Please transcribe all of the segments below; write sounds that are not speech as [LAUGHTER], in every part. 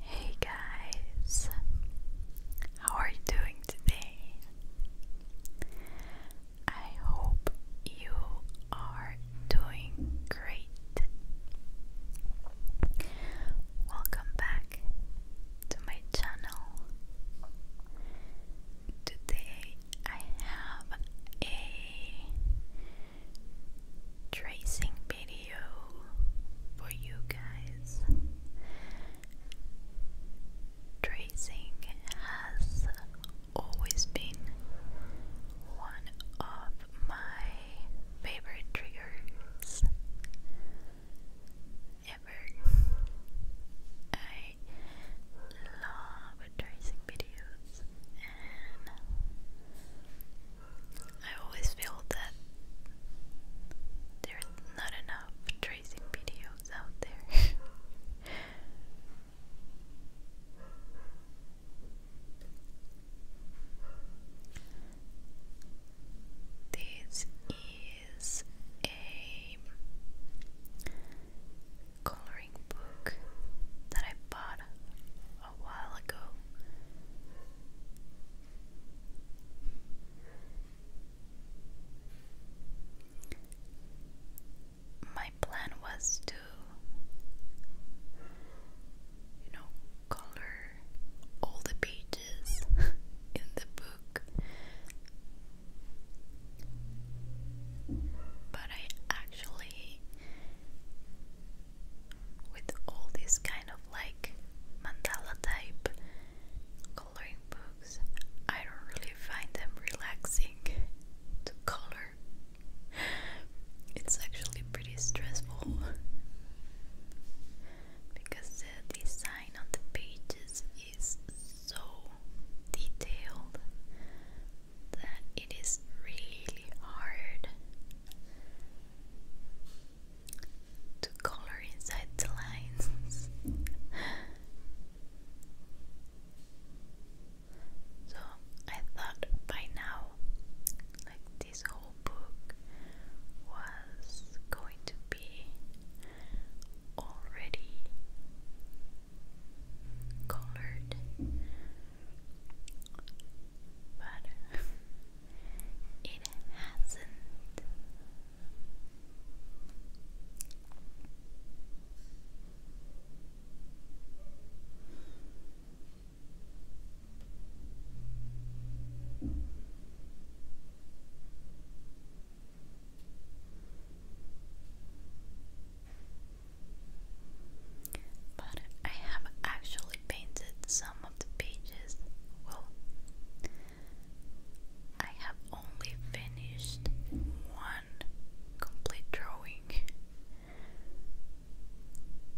Hey guys, how are you doing today? I hope you are doing great. Welcome back to my channel. Today I have a tracing video for you guys. Tracing has always been one of my favorite triggers ever. I love tracing videos I always feel that there's not enough tracing videos out there. [LAUGHS] this is a coloring book that I bought a while ago. My plan was to, you know, color all the pages [LAUGHS] in the book, but I actually with all these kind of like mandala type coloring books, I don't really find them relaxing to color. It's actually pretty stressful because the design on the pages is so detailed that it is really hard to color inside the lines. so I thought by now, like this whole book was going to be already colored but it hasn't. But I have actually painted some of the pages. Well, I have only finished one complete drawing.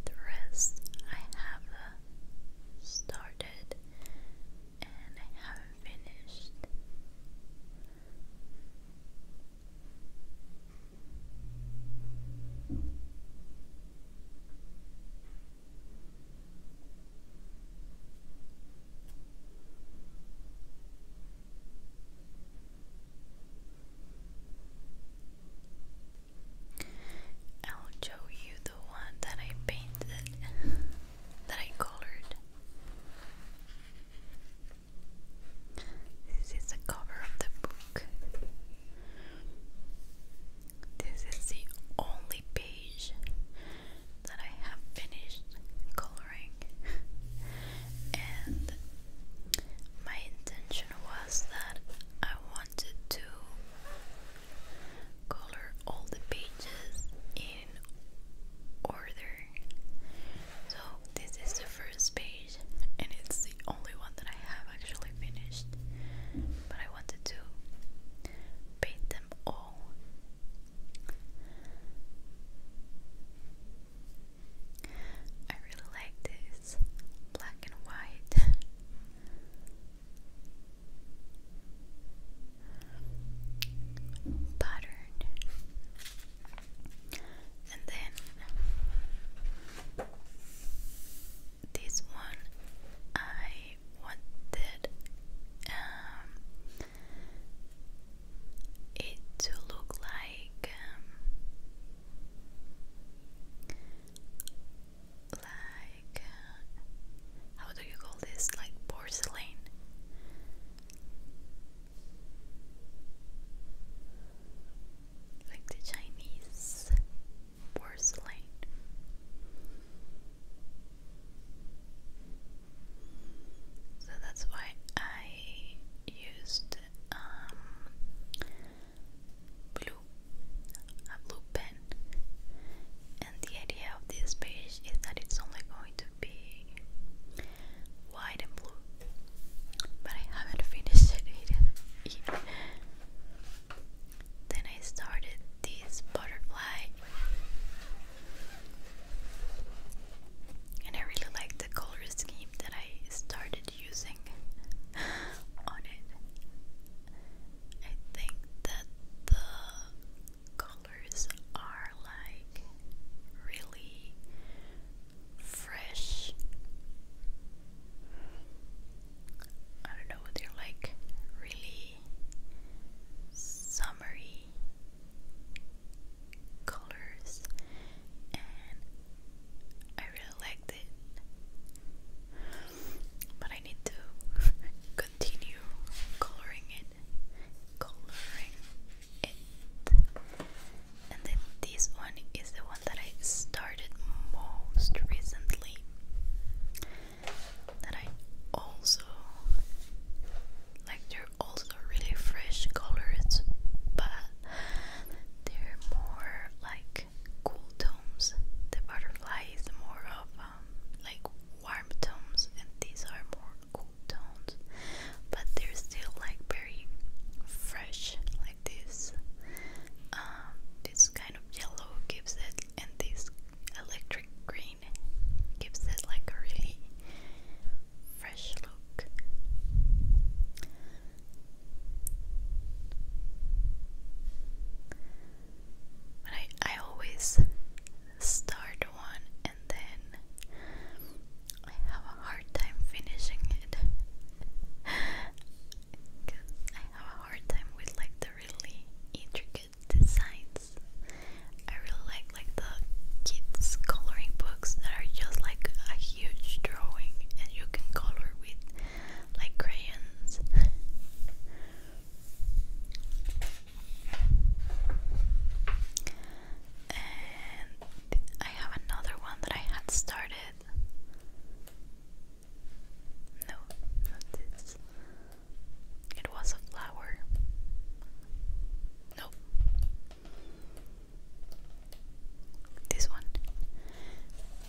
The rest I have uh, started and I haven't finished. I'll show you the one that I painted, that I colored. This is the cover of the book. This is the only page that I have finished coloring, and my intention was that I wanted to color all the pages in order. So, this is the first page and it's the only one that I have actually finished. But I wanted to paint them all. I really like this black and white. pattern and then this one I wanted um, it to look like um, like uh, how do you call this like porcelain like the Chinese porcelain. So that's why I used um, blue, a blue pen. And the idea of this page is that it's only going to be white and blue. But I haven't finished it yet. Then I started this butterfly. And I really like the color scheme that I started using on it. I think that the colors are like really fresh. I don't know, they're like really summery colors, and I really liked it. But I need to [LAUGHS] continue coloring it. Coloring and this one is the one that I started most recently. That I also like, they're also really fresh colors, but they're more like cool tones. The butterfly is more of um, like warm tones, and these are more cool tones but they're still like very fresh, like this. Um, this kind of yellow gives it, and this electric green gives it like a really fresh look. But I, I always start one and then I have a hard time finishing it because [LAUGHS] I have a hard time with like the really intricate designs. I really like like the kids coloring books that are just like a huge drawing and you can color with like crayons and I have another one that I had started. No, not this. It was a flower. Nope. This one.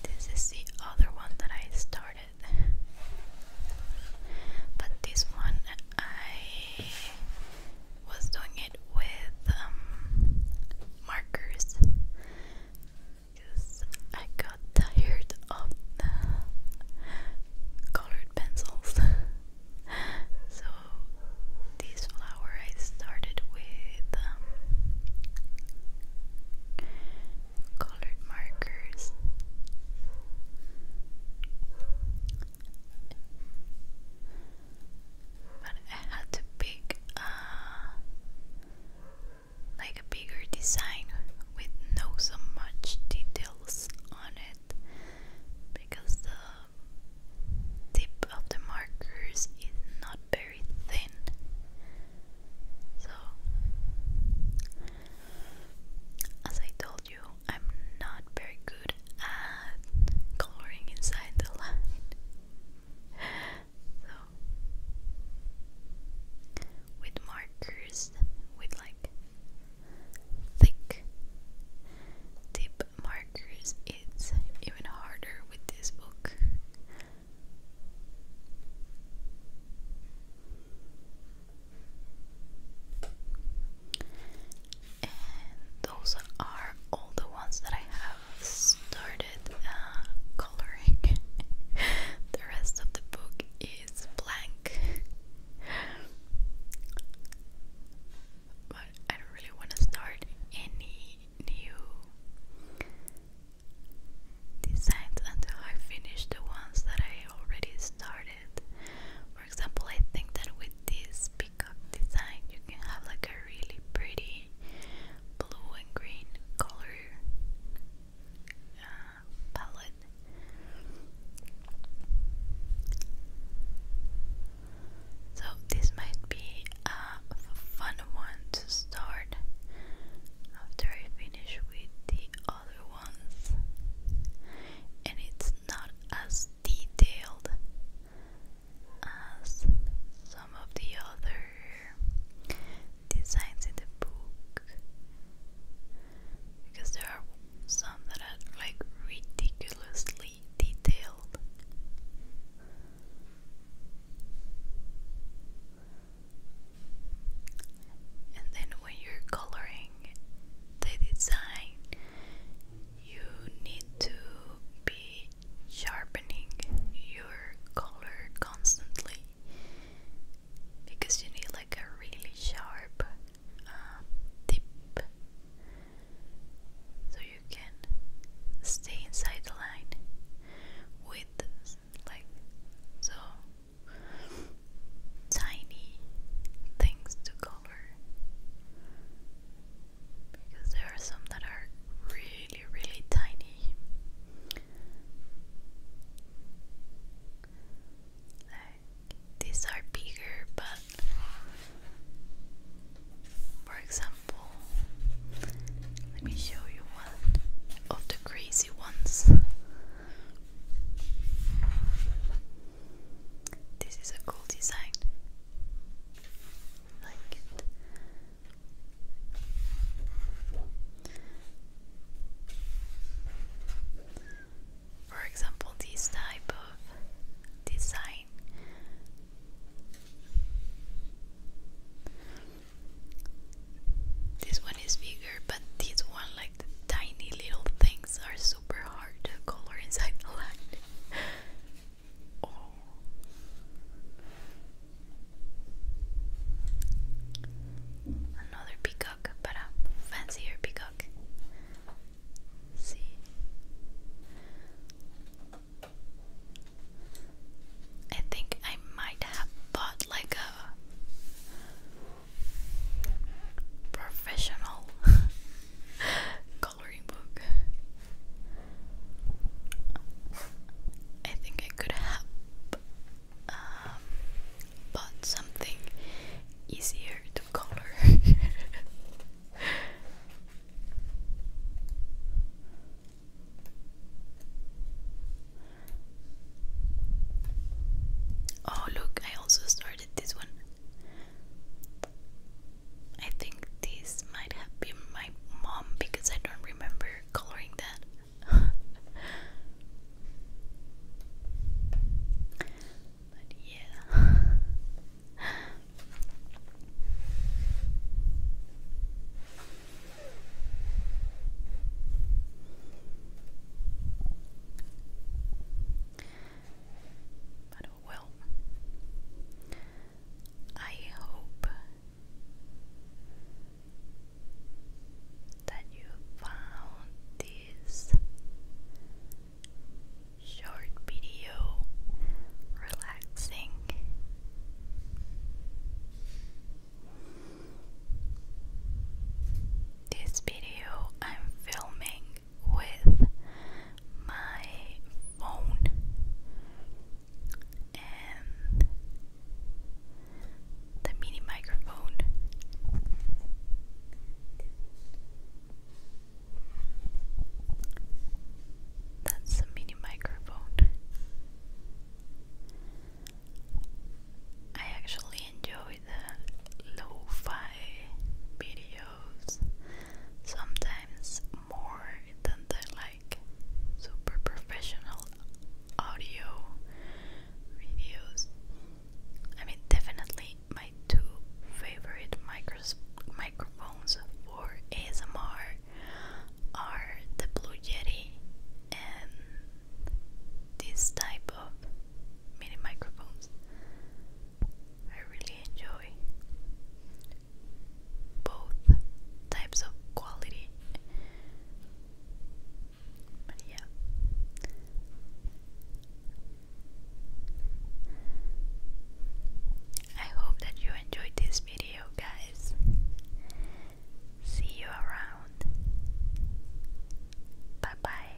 This is the other one that I started. But this one I was doing it with um, markers because I got tired of the colored pencils. [LAUGHS] so this flower I started with um, colored markers but I had to pick uh, like a bigger design with no so much details on it because the tip of the markers is not very thin so as I told you I'm not very good good coloring inside the line. So, with markers, with like thick tip markers, it's even harder with this book and those are all the ones that I have started uh, coloring. [LAUGHS] the rest of the book is blank. But I don't really want to start any new designs until I finish the ones that I already started. For example, I think that with this design you can have like a really pretty blue and green color uh, palette so this might be a fun one to start after I finish with the other ones and it's not as detailed as some of the other designs in the book because there are some that are like ridiculously detailed. And then when you're coloring the design, you need to be sharpening your color constantly because you need like a really sharp uh, tip so you can stay inside the line with like so tiny things to go because there are some that are really, really tiny. Like, these are bigger, but for example, let me show you one of the crazy ones. This is a cool design. For example, this type of design this one is bigger, but these one, like the tiny little things, are super hard to color inside a lot. [LAUGHS] Another peacock, but a fancier peacock. See, I think I might have bought like a professional. [LAUGHS] I think I could have um, bought something easier to color. [LAUGHS] oh, look, I also started this one. I think this might have been my mom because I don't remember coloring that. [LAUGHS] but yeah. [LAUGHS] Well, I hope that you found this short video relaxing. This video I'm filming with my phone and the mini microphone. That's the mini microphone. I actually enjoy the lo fi video sometimes more than the like super professional audio videos. I mean, definitely my two favorite microphones for ASMR are the Blue Yeti and this type of mini microphones. I really enjoy both types of quality. But yeah. I hope that you enjoyed this video, guys. See you around. Bye bye.